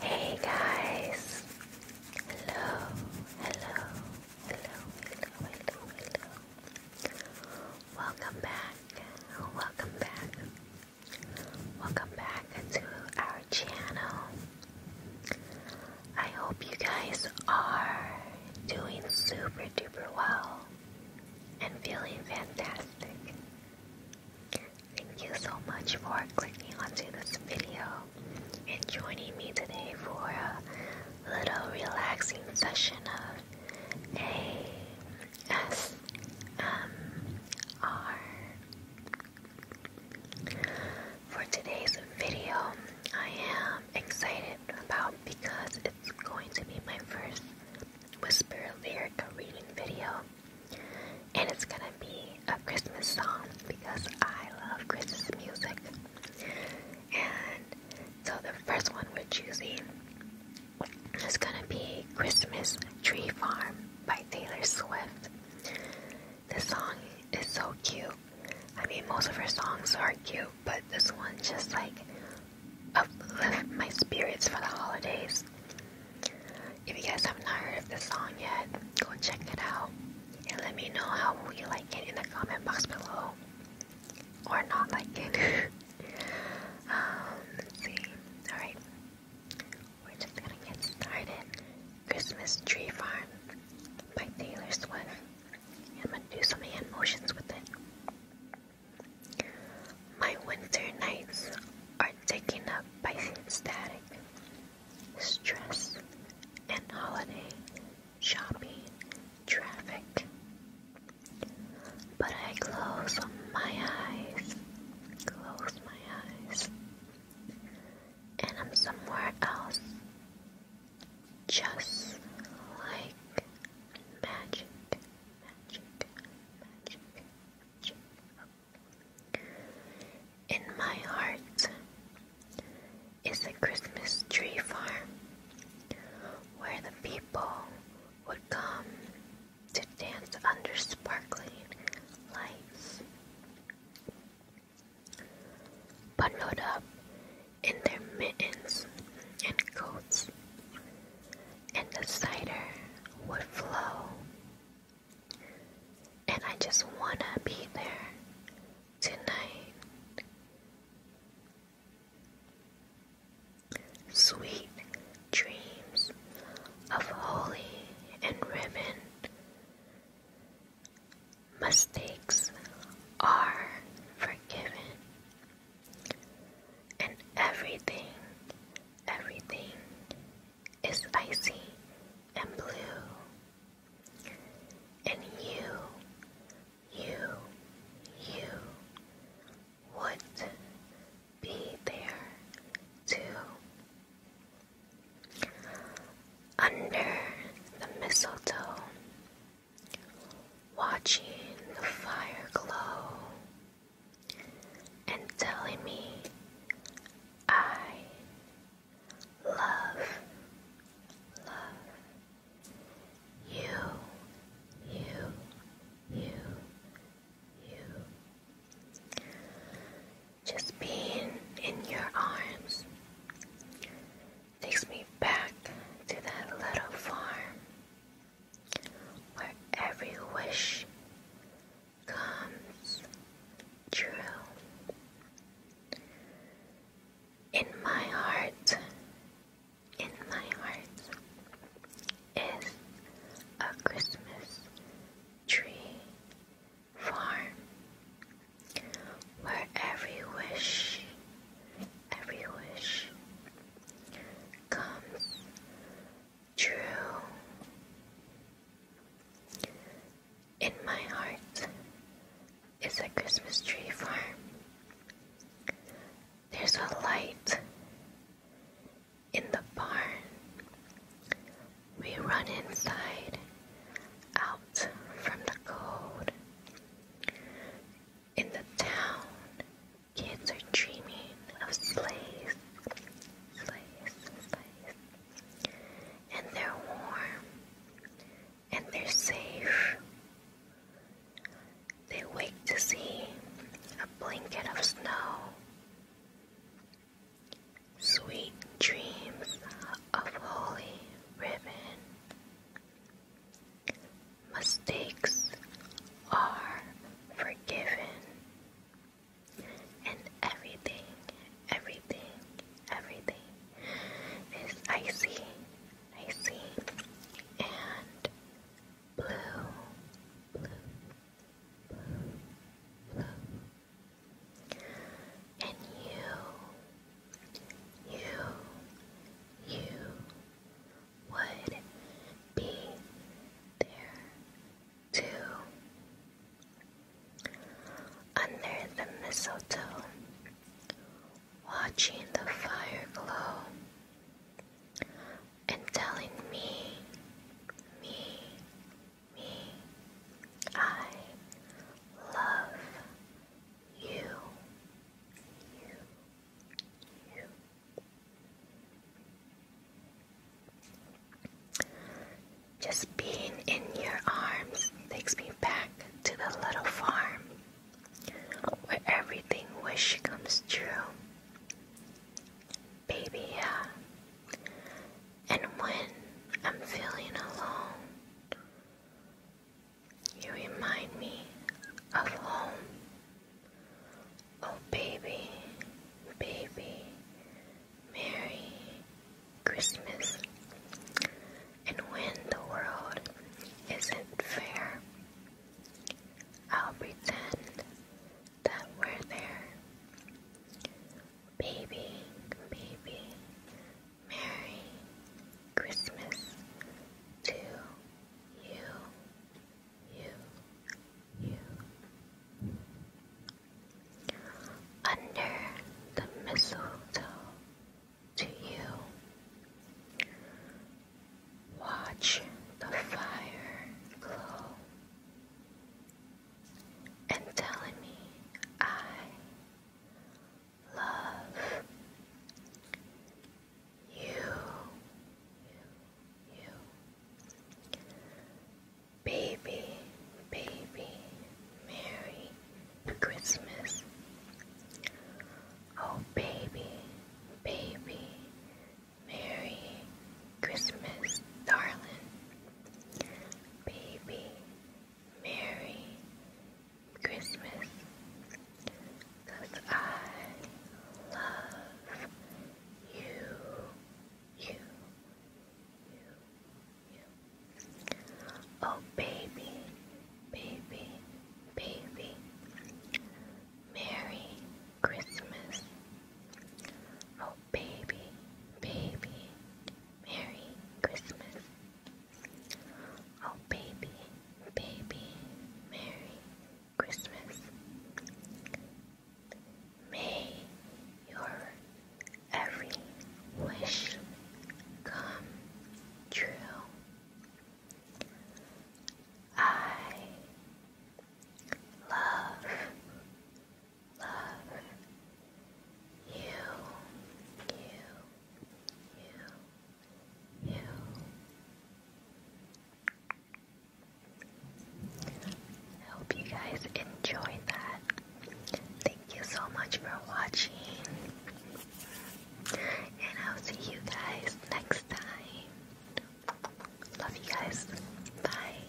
Hey guys! Hello, hello, hello, hello, hello, hello. Welcome back, welcome back, welcome back to our channel. I hope you guys are doing super duper well and feeling fantastic. Thank you so much for clicking onto this video and joining me today for a little relaxing session of ASMR. For today's video, I am excited about because it's going to be my first whisper lyric reading video. And it's gonna be a Christmas song because I love Christmas music. And so the first one we're choosing is gonna be Christmas Tree Farm by Taylor Swift. This song is so cute. I mean, most of her songs are cute, but this one just like uplifts my spirits for the holidays. If you guys have not heard of this song yet, go check it out and let me know how you like it in the comment box below or not like it. um, let's see. Alright, we're just gonna get started. Christmas Tree Farm by Taylor Swift. I'm gonna do some hand motions with it. My winter nights are taken up by static, stress, and holiday shopping traffic. But I close my eyes, close my eyes, and I'm somewhere else, just like magic, magic, magic. In my heart is a Christmas tree farm where the people would come to dance under sparkling lights, bundled up in their mittens and coats and the cider would flow. And I just wanna be there tonight. Sweet dreams of holy and ribbon. Mistakes are forgiven and everything, everything is icy and blue. And you, you, you would be there too. Under the mistletoe, watching the fire glow and telling me I love, you, you, you, you. Just being in your arms takes me back to that little farm where every wish comes true. In my heart, in my heart is a Christmas tree farm where every wish, every wish comes true in my heart is a Christmas tree farm. There's a light in the barn. We run inside, out from the cold. In the town, Kids are dreaming of sleighs, And they're warm, and they're safe. They wake to see a blanket of snow. Sweet dreams of holy ribbon. Mistakes are forgiven. And everything, everything, everything is icy, icy, and blue, blue, blue, And you, you, you would be there too. Under the mistletoe, watching the fire glow, and telling me, me, me, I love you, you. Just being in your arms takes me back to the little farm where everything wish comes true. Baby, yeah. And when I'm feeling alone, you remind me of home. Oh, baby, baby, Merry Christmas. And when the world isn't fair, I'll pretend that we're there. Baby, baby, Merry Christmas to you, you, you. Under the mistletoe to you. Watch the fire glow and telling me I love you, you, you, baby, baby, Merry Christmas. Oh, baby, baby, Merry Christmas, darling. Baby, Merry Christmas I love you, you, you, you. Oh, baby, baby, baby. Merry Christmas. Oh, baby, baby. Merry Christmas. Oh, baby, baby, Merry Christmas. May your every wish come true. I love, love you, you. I hope you guys enjoyed that. Thank you so much for watching. And I'll see you guys next time. Love you guys. Bye.